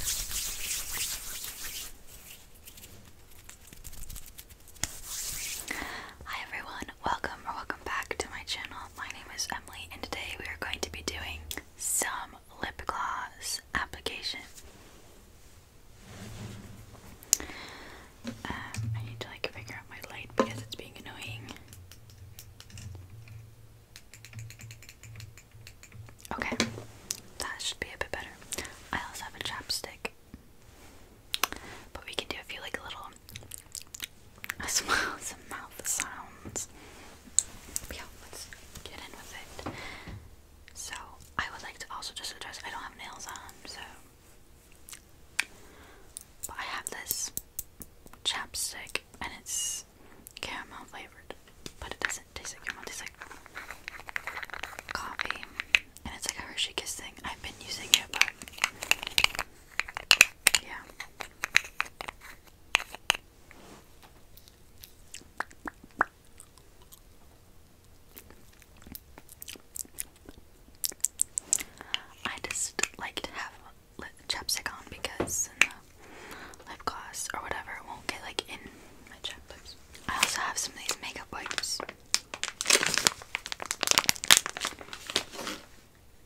Hi everyone, welcome or welcome back to my channel. My name is Emily and today we are going to be doing some lip gloss application. Um, I need to like figure out my light because it's being annoying. Okay, that should be a bit better. I also have a chapstick, but we can do a few like little smiles and mouth sounds. Yeah, let's get in with it. So I would like to also just address I don't have nails on, so but I have this chapstick and it's caramel flavored, but it doesn't taste like caramel. It tastes like coffee, and it's like a Hershey Kiss thing. I've been using it, but yeah. I just like to have chapstick on because uh, lip gloss or whatever won't get like in my cheekbones. I also have some of these makeup wipes.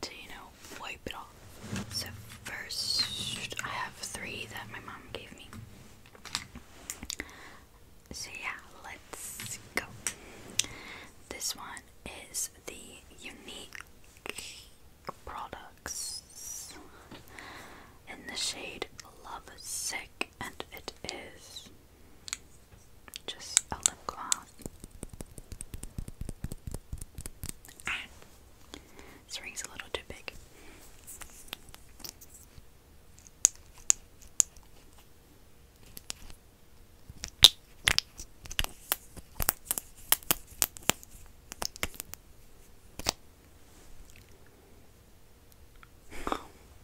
To you know, wipe it off. So first I have three that my mom gave me. So yeah, let's go. This one is the unique products in the shade Love Sick, and it is just a lip gloss. Ah, this ring's a little too big.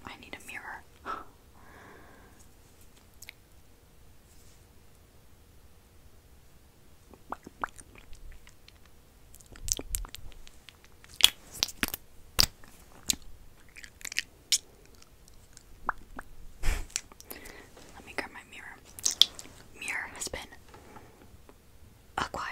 I need a mirror. Let me grab my mirror. Mirror has been acquired.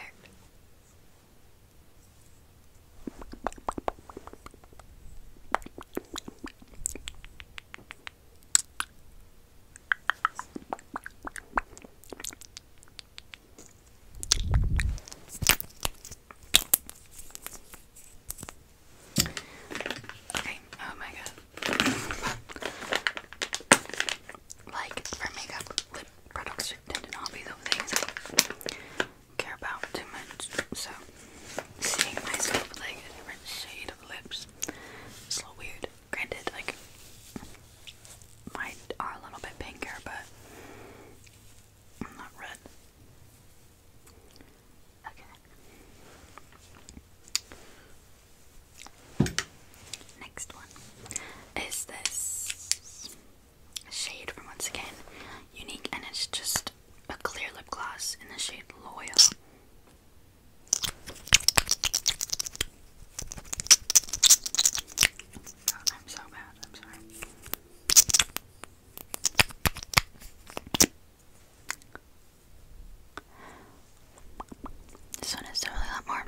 Okay, oh my god like for makeup, lip products tend to not be the things I care about too much. So seeing myself like a different shade of lips is a little weird. Granted, like mine are a little bit pinker, but I'm not red. Okay. Next one is this shade from once again Unique, and it's just a clear lip gloss in the shade Loyal. Oh, I'm so bad. I'm sorry. This one is definitely a lot more.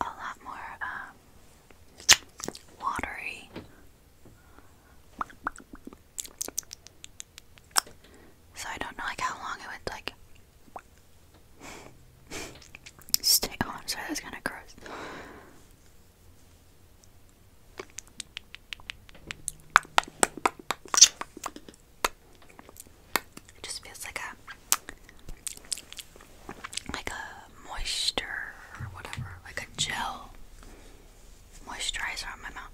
A lot more uh, watery. So I don't know like how long it would like stay on. Sorry, that's kind of gross. It just feels like a like a moisture or whatever, like a gel moisturizer on my mouth.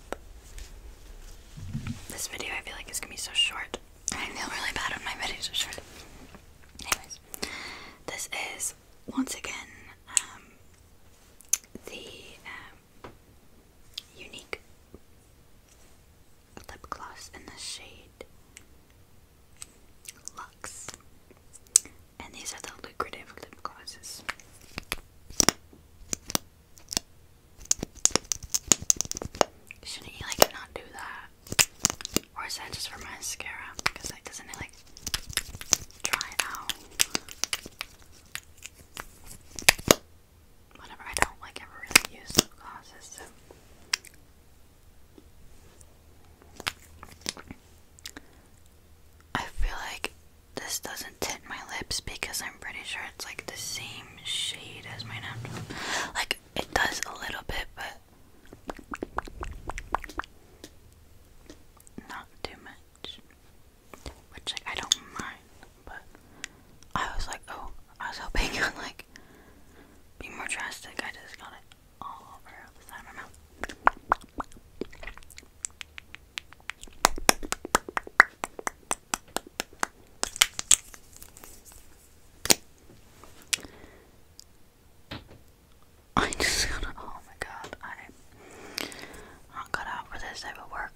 This video I feel like is gonna be so short. I feel really bad when my videos are short. Anyways, this is once again, um, the um, unique lip gloss in the shade Luxe, and these are the lucrative lip glosses. Shouldn't you like not do that? Or is that just for mascara? Because like doesn't it like dry out? Whatever, I don't like ever really use lip glosses, so I feel like this doesn't tint my lips because I'm pretty sure it's like the same shade as my natural. Like it does a little bit, but not too much. Which I don't mind, but I was like, oh, I was hoping you would like be more drastic. I just got it all over the side of my mouth. I just gotta, oh my god, I, I'm out for this type of work.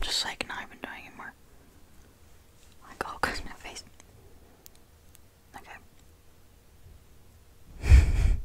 Just like not even doing it more. Like oh, all across my face. Okay.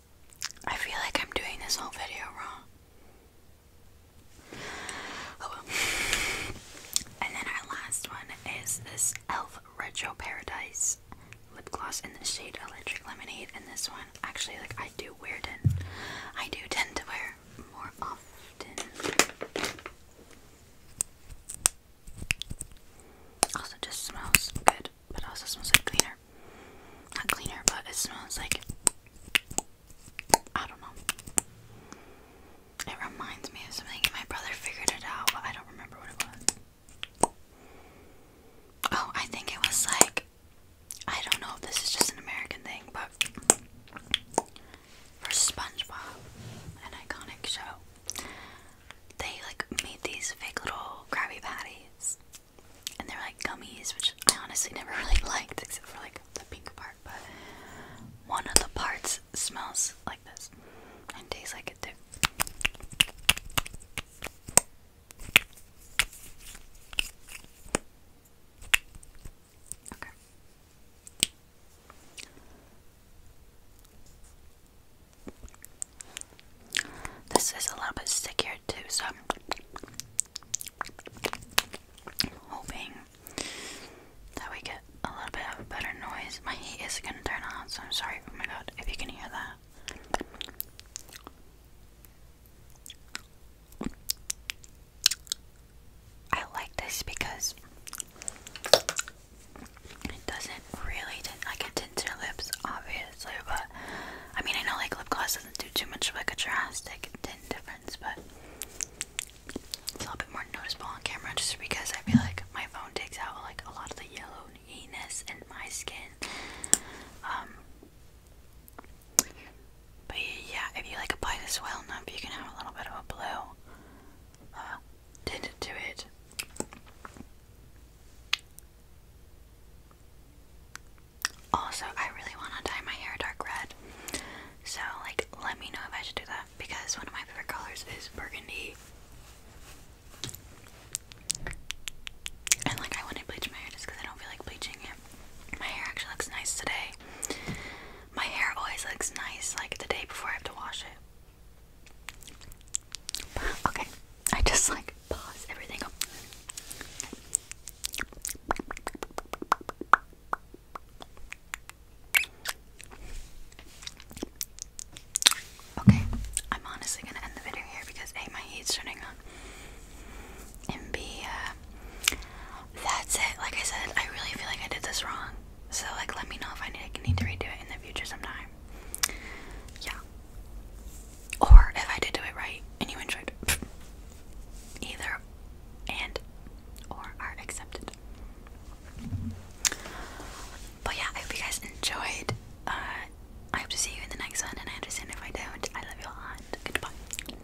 I feel like I'm doing this whole video wrong. Oh, and then our last one is this e.l.f. Retro Paradise lip gloss in the shade Electric Lemonade. And this one, actually, like I do wear it. I do tend to wear more often. Also, just smells good but also smells like cleaner. Not cleaner, but it smells like I don't know. It reminds me of something. My brother figured it out, but I don't remember what it was. Oh, I think it was like I don't know if this is just an American thing, but for SpongeBob, an iconic show, they like made these fake little Krabby Patties, and they're like gummies, which I honestly never really liked except for like the pink part. But one of the parts smells like this and tastes like it too. Okay. This is a little bit stickier too, so I'm hoping that we get a little bit of a better noise. My heat is gonna turn on, so I'm sorry. Oh my god, if you can hear that. I like this because it doesn't really tint, like it tints your lips, obviously, but I mean, I know like lip gloss doesn't do too much like a drastic tint difference, but it's a little bit more noticeable on camera just because I feel like my phone takes out like a lot of the yellowiness in my skin. Um, but yeah, if you like apply this well enough, you can have a little bit of a blue uh, tint to it. Also, I really want to dye my hair dark red. So, like, let me know if I should do that because one of my favorite colors is burgundy. And, like, I want to bleach my hair just because I don't feel like bleaching it. My hair actually looks nice today. My hair always looks nice, like, the day before I have to wash it. Okay, I just like pause everything Okay, I'm honestly gonna end the video here because A, my heat's turning on, and B, uh, that's it. Like I said, I really feel like I did this wrong. So like, let me know if I need, to redo it in the future sometime. Yeah. Or if I did do it right and you enjoyed it. Either and or are accepted. But yeah, I hope you guys enjoyed. Uh, I hope to see you in the next one, and I understand if I don't. I love you all, and goodbye.